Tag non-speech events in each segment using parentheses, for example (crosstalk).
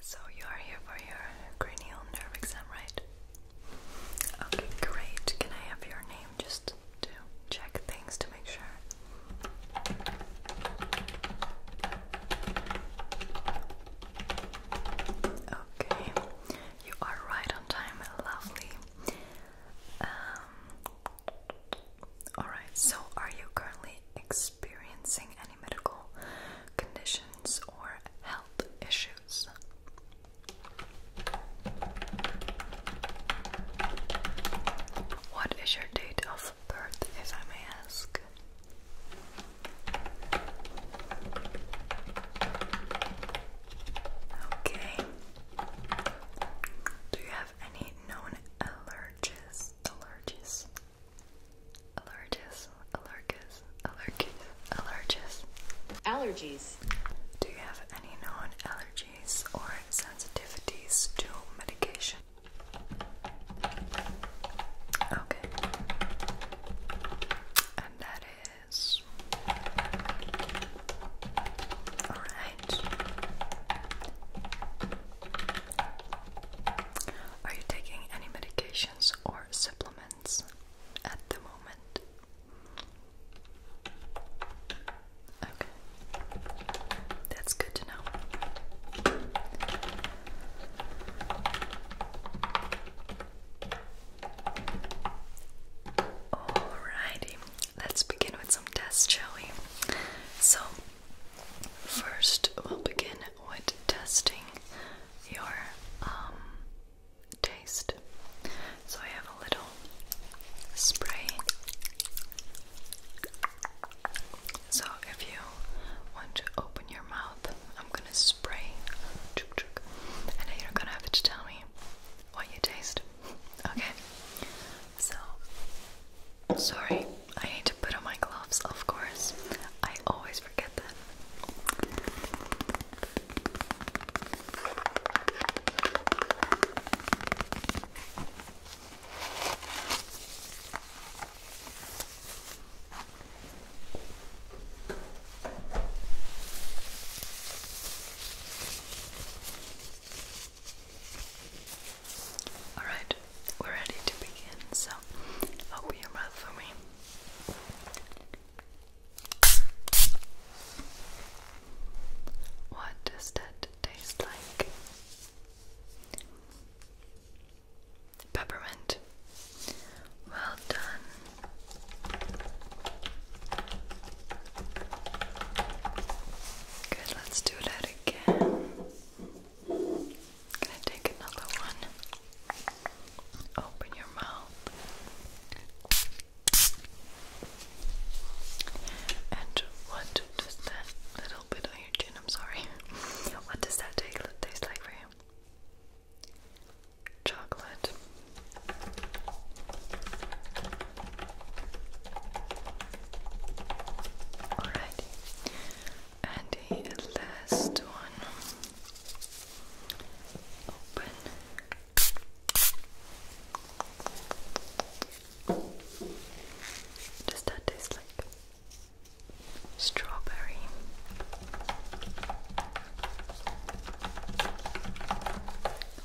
So you are here for your cranial nerve exam, right? Okay, great. Can I have your name just to check things to make sure? Okay, you are right on time. Lovely. Um, all right. So, are you currently experiencing any medical conditions or health issues. What is your date of birth, if I may ask? Okay. Do you have any known allergies? Allergies? Allergies, allergies, allergies, allergies. Allergies. Do you have any known allergies or sensitivities to medication? Okay. And that is all right. Are you taking any medications or supplements at the moment. Okay, that's good to know. Alrighty, let's begin with some tests, shall we? So, first we'll begin with testing your um, taste. So I have a little spray. So if you want to open your mouth, I'm gonna spray, chuk chuk, and you're gonna have to tell me what you taste. Okay. So, sorry, I need to put on my gloves, of course. I always all right, we're ready to begin. So, open your mouth for me. What does that taste like? Peppermint. Well done. Good, let's do that again gonna take another one. Open your mouth. And what does that little bit on your chin? I'm sorry. (laughs) What does that taste like for you? Chocolate. Alright and the last one open does that taste like strawberry?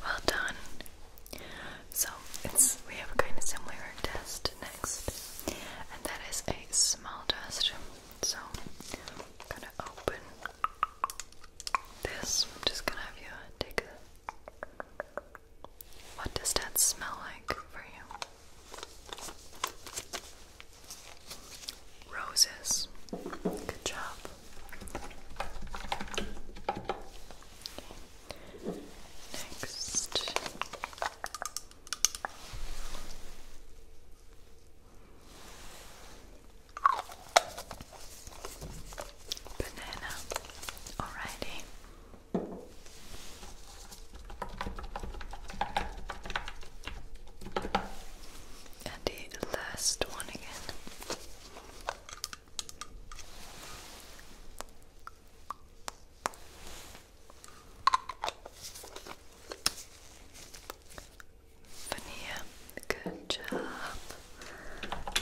Well done. So it's we have kind of similar test next, and that is a smell test. So gonna open this. I'm just gonna have you take what does that smell like for you? Roses. Good job. Next. Banana. Alrighty. And the last one again. Veneer, good job.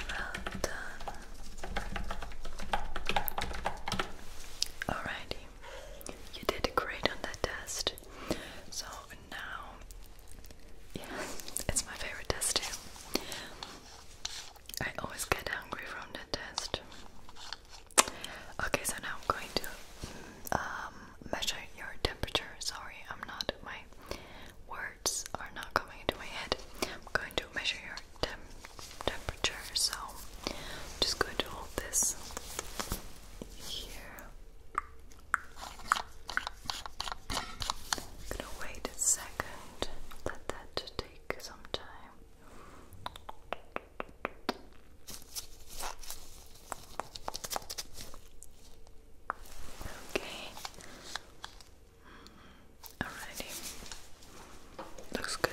Well done. Alrighty, you did great on that test. So now, yeah, (laughs) it's my favorite test too. I always get hungry from the test. Okay, so now I'm going to um, measure your temperature. Sorry, I'm not, my words are not coming into my head. I'm going to measure your temp temperature, so I'm just going to hold this here. gonna wait a second, let that take some time. Okay. Alrighty. Looks good.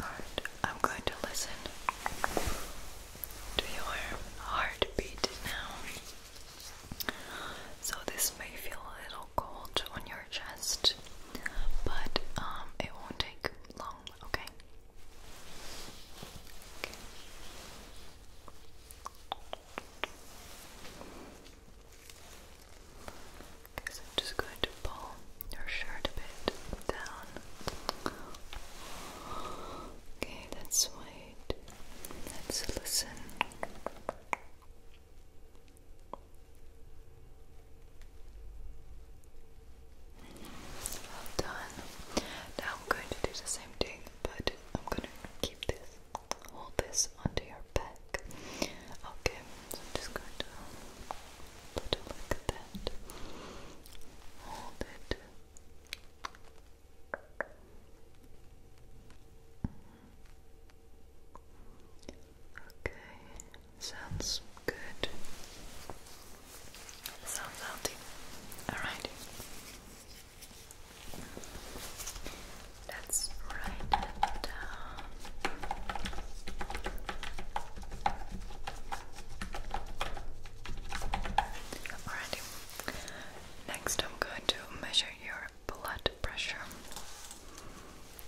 Alright, I'm going to listen to your heartbeat now. So this may feel a little cold on your chest, but um, it won't take long, okay? okay. so I'm just going to pull your shirt a bit down. Okay, that's wait. Let's listen. Well done. Now I'm going to do the same thing, but I'm gonna keep this, hold this onto your back. Okay, just going to put it like that. Hold it. Okay, sounds good. Sounds healthy. Alright. Let's write it down. Alrighty. Next, I'm going to measure your blood pressure.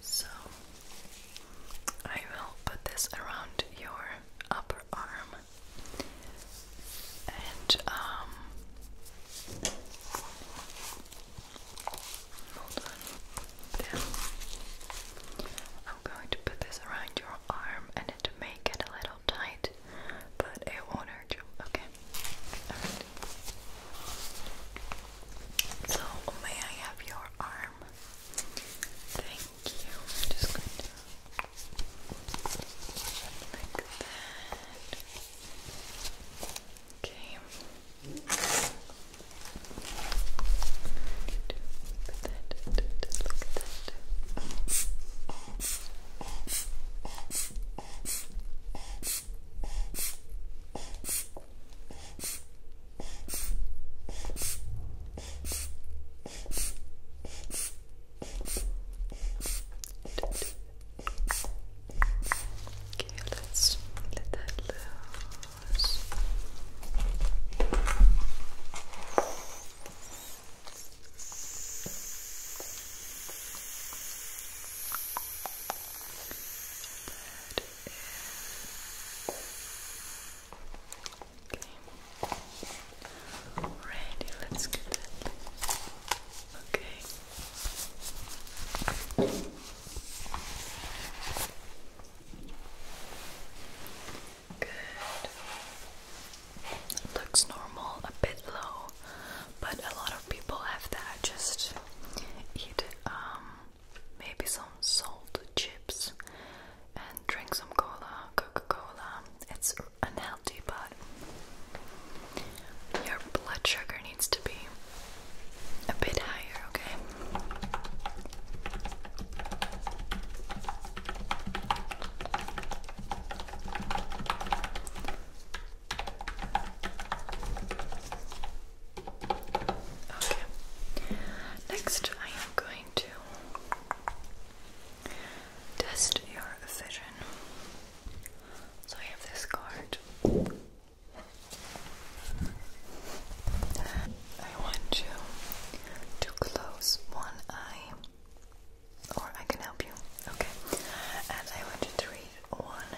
So I will put this around your upper arm and um, I'm going to put this around your arm and it may get a little tight, but it won't hurt you. Okay. So may I have your arm? Thank you. I'm just going to like that. Okay. Put that, look at that. Okay, let's let that loose. Good. Okay. Ready, let's get that. Okay. Good. Looks normal, a bit low, but a lot of people have that. Just eat um, maybe some salt chips, and drink some cola, Coca Cola. It's unhealthy, but your blood sugar needs to be a bit higher, okay? Next, I am going to test your vision. So I have this card. I want you to close one eye, or I can help you. Okay. And I want you to read one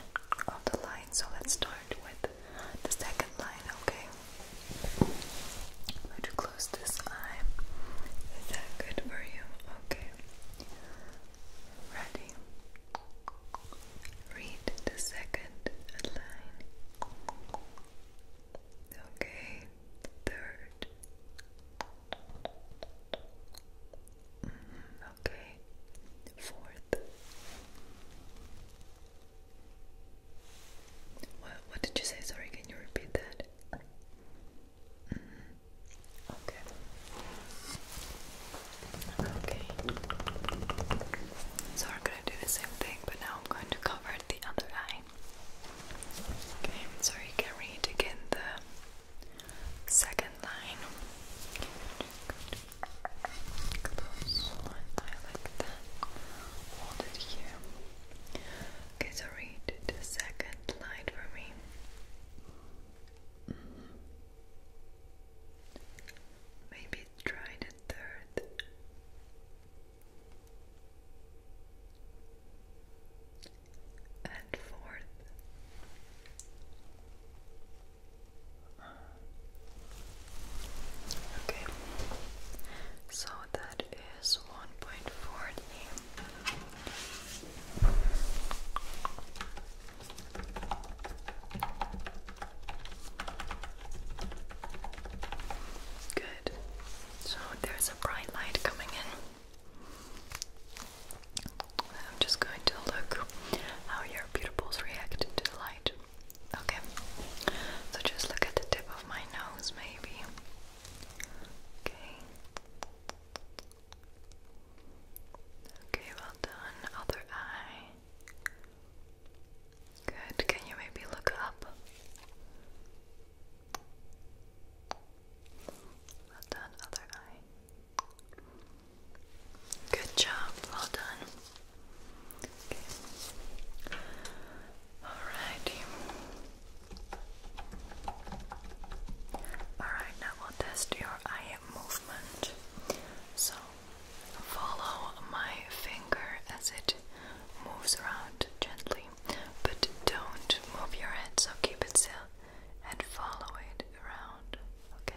of the lines. So let's start with the second line, okay? I'm close this eye. Is that good for you? Okay. Ready? Read the second line. Okay, third. Mm-hmm. Okay, fourth. What, what did you say? Sorry, can you repeat that? Mm-hmm. Okay. Okay. So we're gonna do the same thing, but now I'm going to cover the other eye. Okay, so you can read again the second line. Close one eye Okay, so read the second line for me. Maybe try the third. And fourth. Okay, so that is one point forty. Good. So there's a bright light coming in. I'm just going to look how your pupils react to the light. Okay, so just look at the tip of my nose, maybe. Okay. Okay, well done. Other eye. Good. Can you maybe look up? Well done, other eye. Good job. Well done. Okay. Alrighty. Alright, now we'll test your eye movement. So follow my finger as it moves around gently, but don't move your head, so keep it still and follow it around. Okay.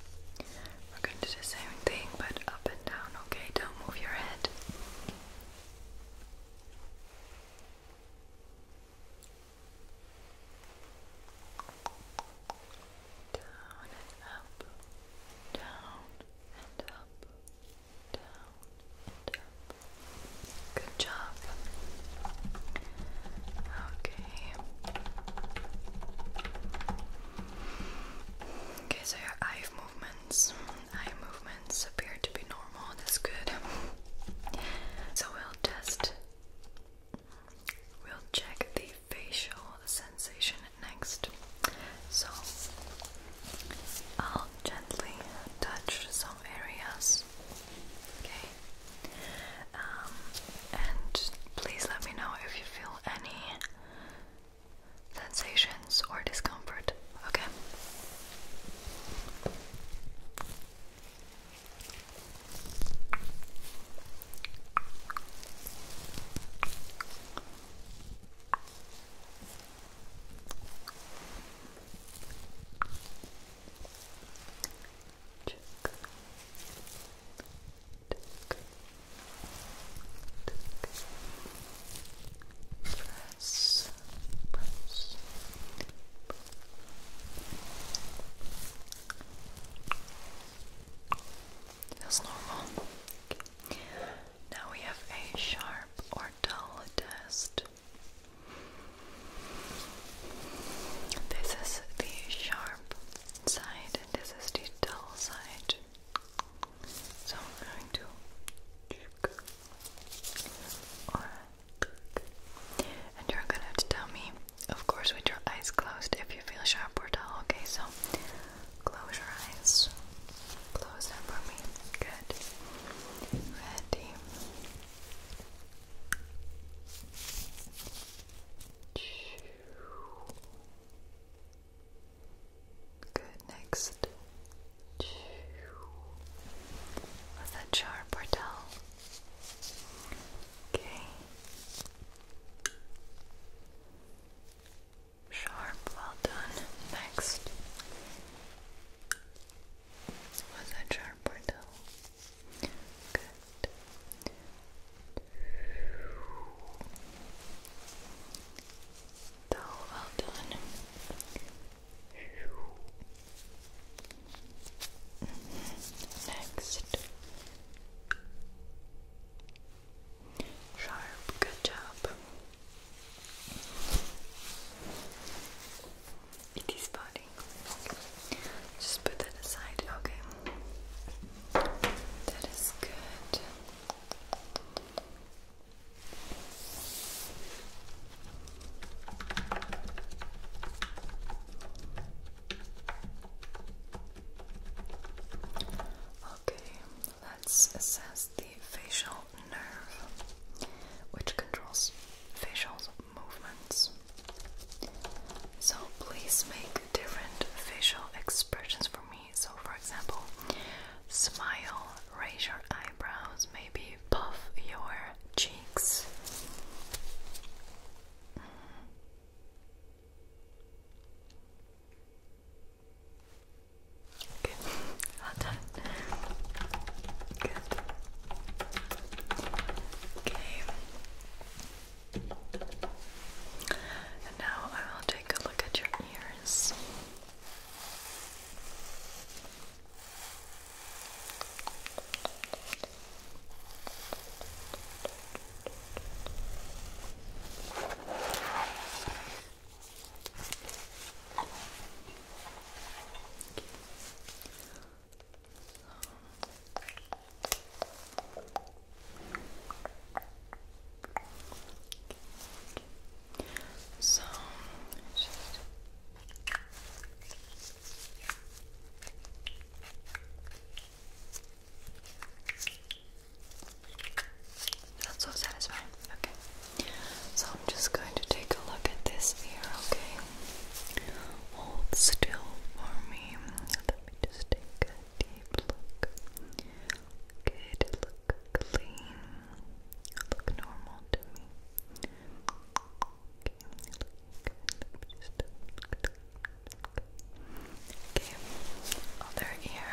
We're going to do the same thing but up and down, okay? Don't move your head. Down and up, down and up, down and up. Good job. Okay. Okay, so your eye movements, eye movements appear to be normal. That's good. So we'll test. We'll check the facial sensation next. So I'll gently touch some areas. Okay. Um, and please let me know if you feel any sensations or discomfort, okay? Tick. Tick. Tick. Press. Press. Feels normal. Now we have a sharp or dull test. This is the sharp side and this is the dull side. So I'm going to and you're gonna tell me, of course, with your eyes closed if you feel sharp or dull. Okay, so close your eyes. Close them for me. Good. Ready. Good, next. Was that sharp or dull? Okay. Sharp, well done. Next. Was that sharp or dull? Good. well done. Next. Sharp, good job. It is budding. Just put that aside, okay. That is good. Okay, let's assess the facial nerve, which controls facial movements. So please make different facial expressions for me. So, for example, smile, raise your eyebrows, maybe puff your cheeks. Good. Okay. And now I will take a look at your ears. So that's so satisfying. Okay. So I'm just going to take a look at this ear, okay? Hold still for me. Let me just take deep look. Good, look clean. Look normal to me. Okay, other ear.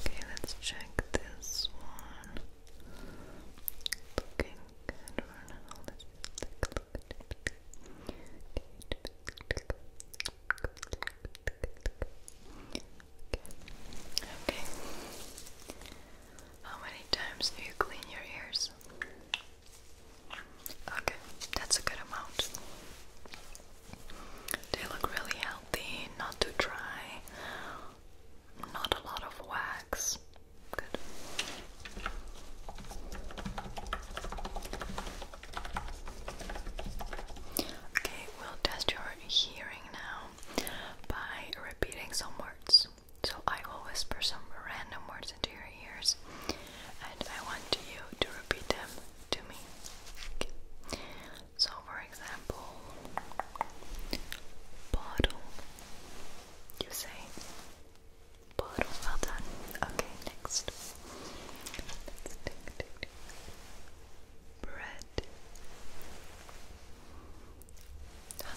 Okay, let's check this one. Looking good for now. Okay. How many times do you clean your ears? Okay, that's a good amount. They look really healthy, not too dry, not a lot of wax. Good. Okay, we'll test your hearing now by repeating some words. So I will whisper some random words into your ears and I want you to repeat them to me. So for example, bottle. You say well done. Okay, next. Bread.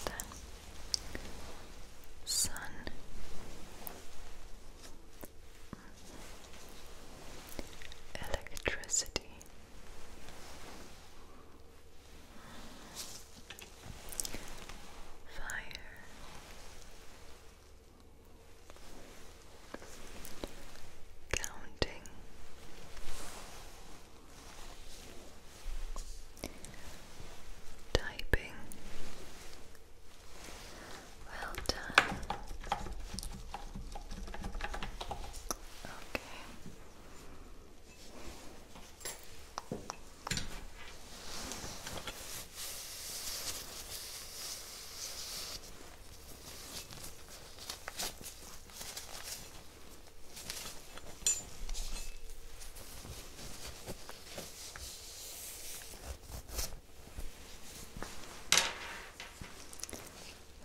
done. Sun. Electricity. Fire counting typing well done okay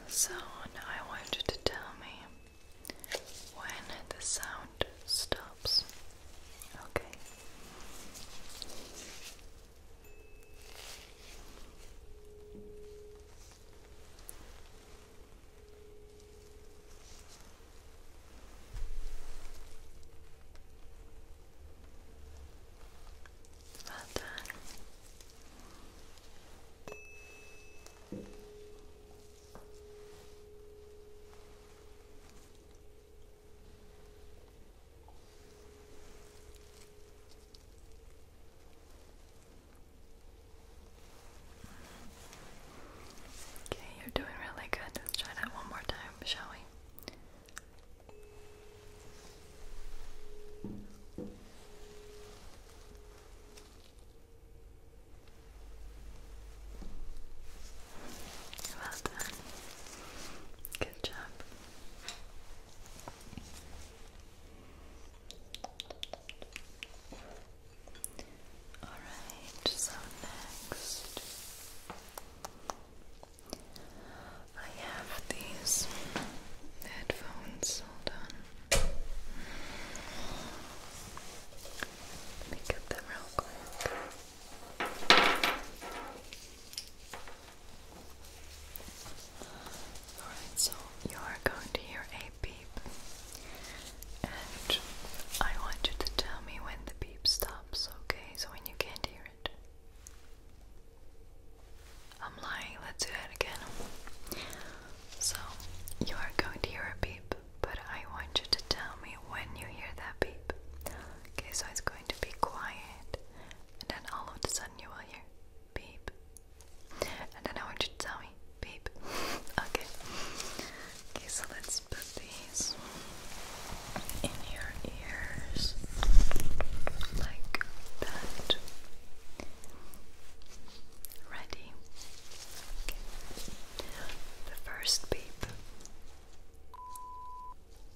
so I want you to tell me when the sound stops. Okay. Well done. Okay, you're doing really good. Let's try that one more time, shall we? Well done. Good job. Alright, so next I have these headphones. Hold on. Let me them real quick. Alright, so you are going to hear a beep, and I want you to tell me when the beep stops, okay? So when you can't hear it. I'm lying, let's do it again. So, you are going to hear a beep, but I want you to tell me when you hear that beep. Okay, so it's going to be quiet and then all of a sudden you will hear beep. And then I want you to tell me beep. (laughs) okay. Okay, so let's put these in your ears like that. Ready? Okay. The first beep.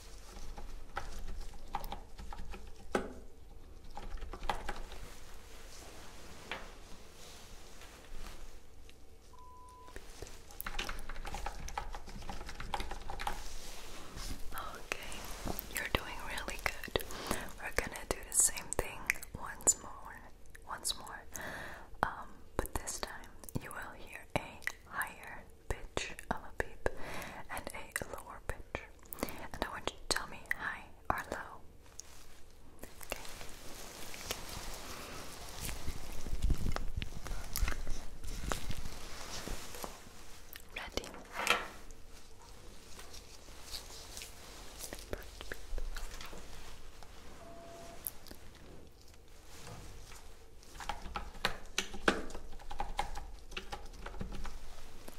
Okay, you're doing really good. We're gonna do the same thing once more, once more. Um, but this time you will hear a higher pitch of a beep and a lower pitch and I want you to tell me high or low. Ready.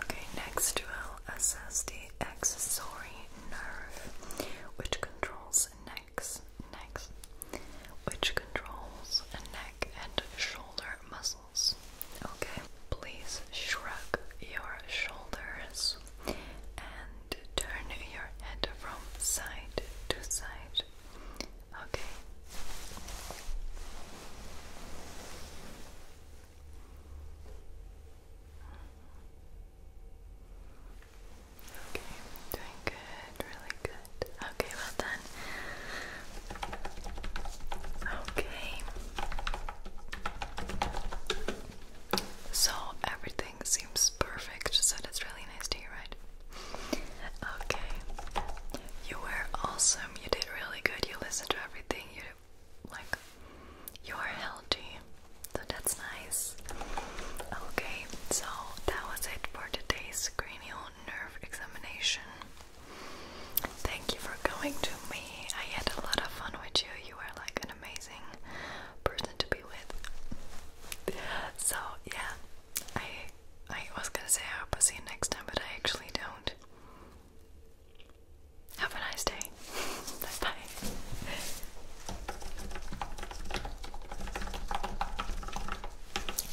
Okay, next we'll assess the accessory nerve, which controls necks, Next, which controls necks and shoulder muscles. Okay, please shrug your shoulders and turn your head from side to side. Okay. Okay, doing good, really good. Okay, well done. Okay. So everything seems perfect, so that's really nice to hear, right? Okay. You were awesome. You did really good. You listened to everything. You like you're healthy. So that's nice. Okay, so that was it for today's cranial nerve examination. Thank you for coming to me. I had a lot of fun with you. You were like an amazing person to be with. So yeah, I I was gonna say I hope I see you next time, but I actually don't. Have a nice day. (laughs) bye.